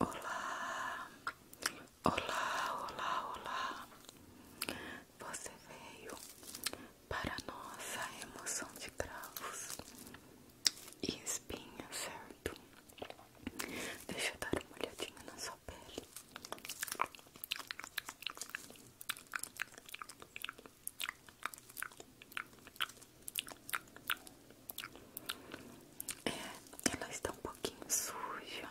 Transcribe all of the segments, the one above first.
Olá, olá, olá, olá. Você veio para nossa emoção de cravos e espinhas, certo? Deixa eu dar uma olhadinha na sua pele. É, ela está um pouquinho suja.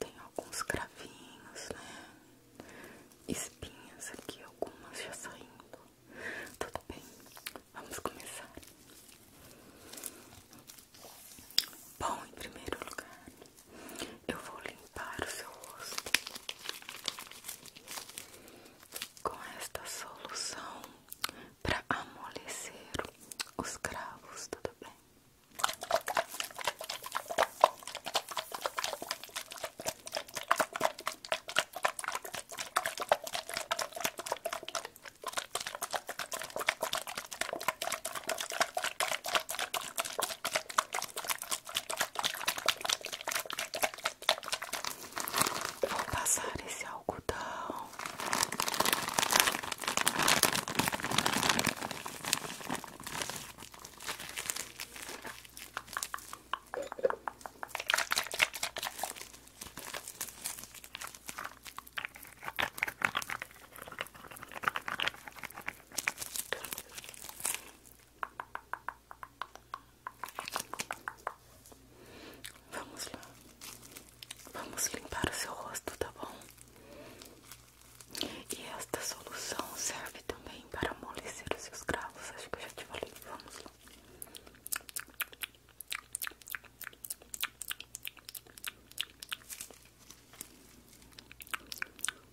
Tem alguns cravinhos, né? Espinhas aqui, algumas já saindo. Tudo bem, vamos começar. Bom, em primeiro lugar, eu vou limpar o seu rosto com esta solução para amolecer os cravos, tudo bem? Vou passar esse algodão. Vamos lá, vamos limpar o seu rosto, tá bom? E esta solução serve também para amolecer os seus cravos. Acho que eu já te falei. Vamos lá. Vamos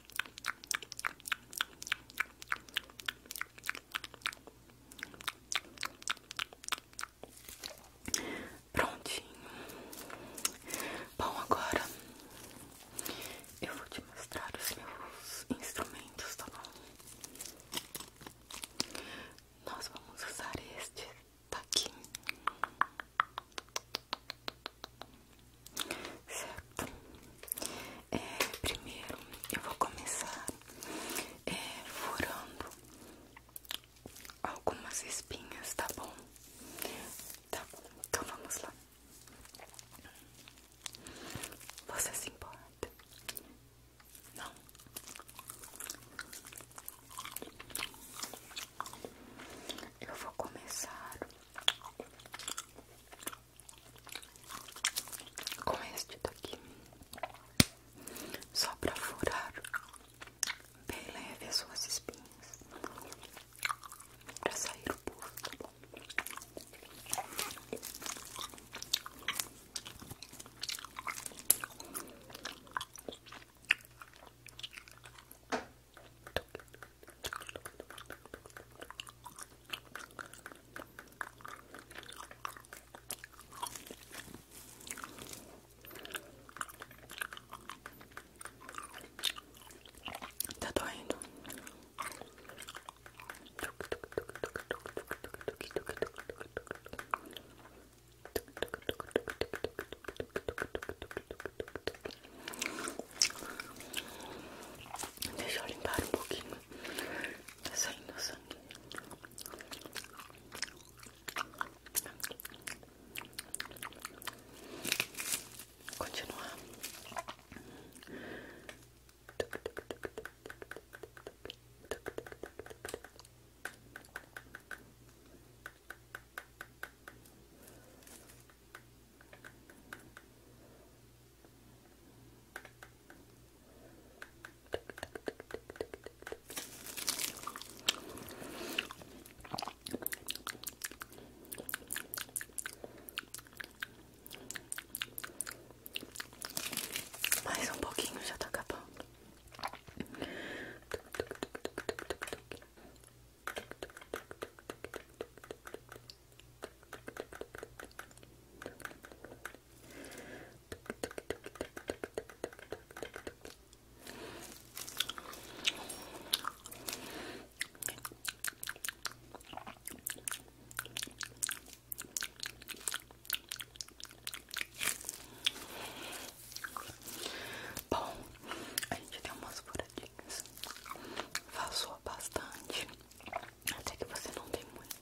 Prontinho. Bom, agora eu vou te mostrar os meus instrumentos, tá bom? Nós vamos usar este daqui certo? É, primeiro eu vou começar é, furando algumas espinhas, tá bom? Tá bom, então vamos lá. Você se importa? Não. Eu vou começar com este daqui, só para furar bem leve as suas espinhas, para sair o puro, tá bom? Tá doendo. Deixa eu limpar um pouquinho. Tá saindo sangue. Continuar. Mais um pouquinho já tá acabando. Bom, a gente tem um almoço por pecas. bastante. Até que você não tem muito.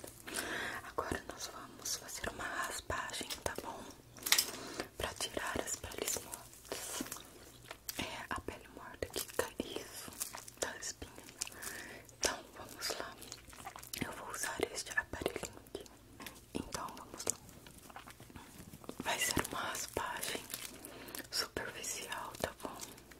Agora nós vamos fazer uma raspagem, tá bom? Pra tirar as peles mortas. É a pele morta que cai isso da espinha. Então vamos lá. Eu vou usar este aparelhinho aqui. Então vamos lá. Vai ser uma raspagem superficial, tá bom?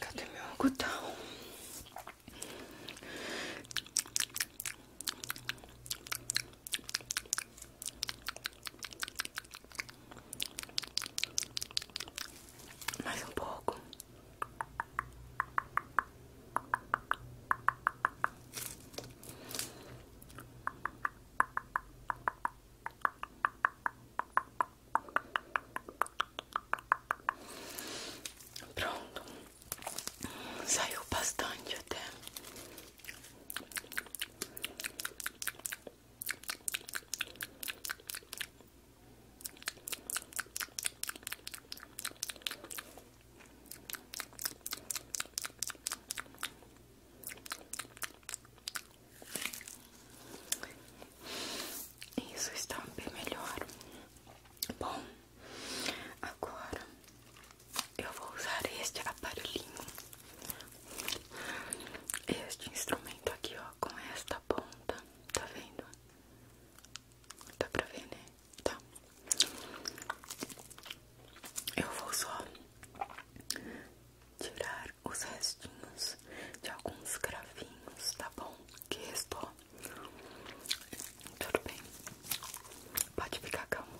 Cadê meu algodão? Mais um pouco. Pronto, saiu bastante até. Isso está bem melhor. Bom, agora eu vou usar este aparelhinho, este instrumento aqui, ó, com esta ponta. Tá vendo? Dá pra ver, né? Tá. Eu vou só tirar os restinhos de alguns cravinhos, tá bom? Que restou? Tudo bem, pode ficar calmo.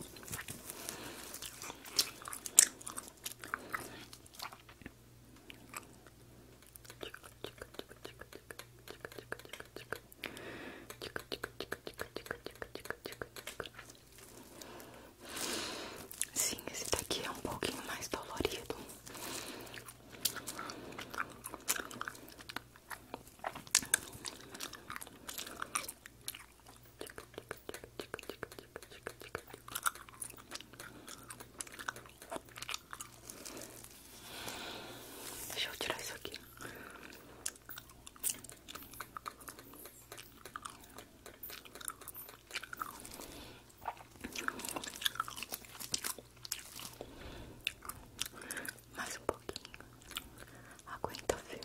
Sim, esse daqui é um pouquinho mais dolorido. Deixa eu tirar isso aqui. Mais um pouquinho. Aguenta firme.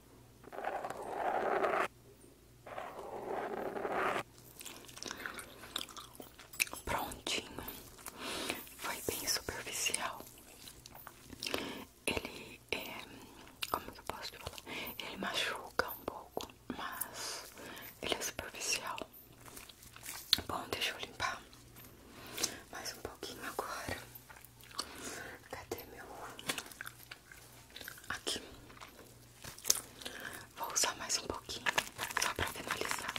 Prontinho, foi bem superficial. Ele é, como que eu posso falar? Ele machuca um pouco, mas ele é superficial. Bom, deixa eu limpar mais um pouquinho agora. Cadê meu Aqui. Vou usar mais um pouquinho, só para finalizar.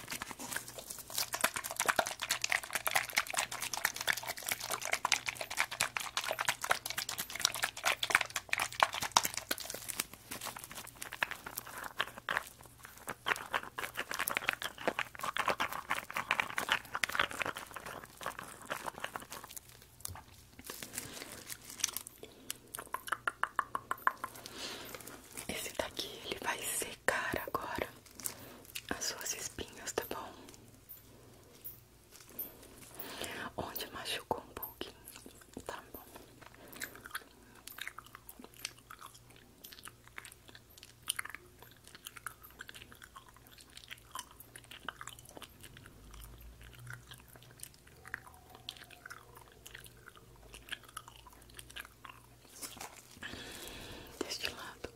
Esse daqui ele vai secar agora as suas espinhas, tá bom? Onde machucou um pouquinho, tá bom? Deste lado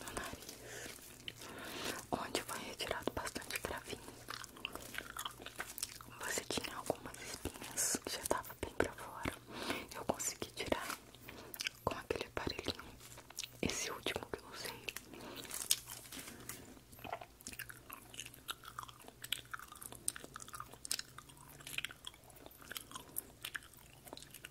no nariz, onde foi retirado bastante cravinho. Você tinha algumas espinhas que já estavam bem pra fora. Eu consegui tirar com aquele aparelhinho, esse último que eu usei.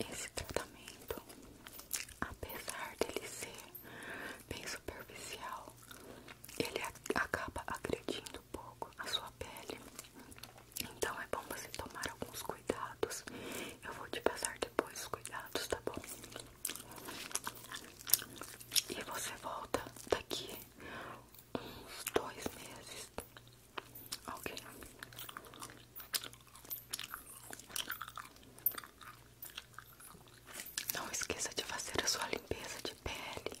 Esse tratamento, apesar dele ser bem superficial, ele acaba agredindo um pouco a sua pele. Então é bom você tomar alguns cuidados. Eu vou te passar depois os cuidados, tá bom? E você volta daqui uns dois meses. Ok. Não esqueça de fazer a sua limpeza de pele.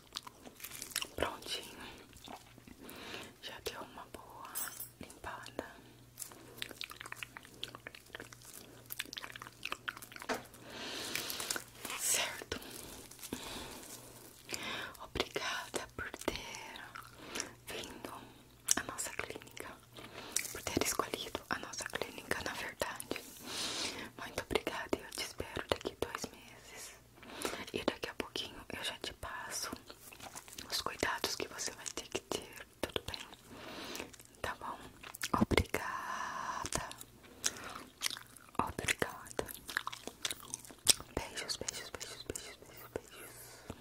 Prontinho. Já deu uma boa limpada. Certo. Obrigada por ter vindo à nossa clínica, por ter escolhido a nossa clínica, na verdade. Muito obrigada e eu te espero daqui dois meses. E daqui a pouquinho eu já te passo os cuidados que você vai ter que ter, tudo bem? Tá bom? Obrigada. Obrigada. Beijos, beijos, beijos, beijos, beijos, beijos.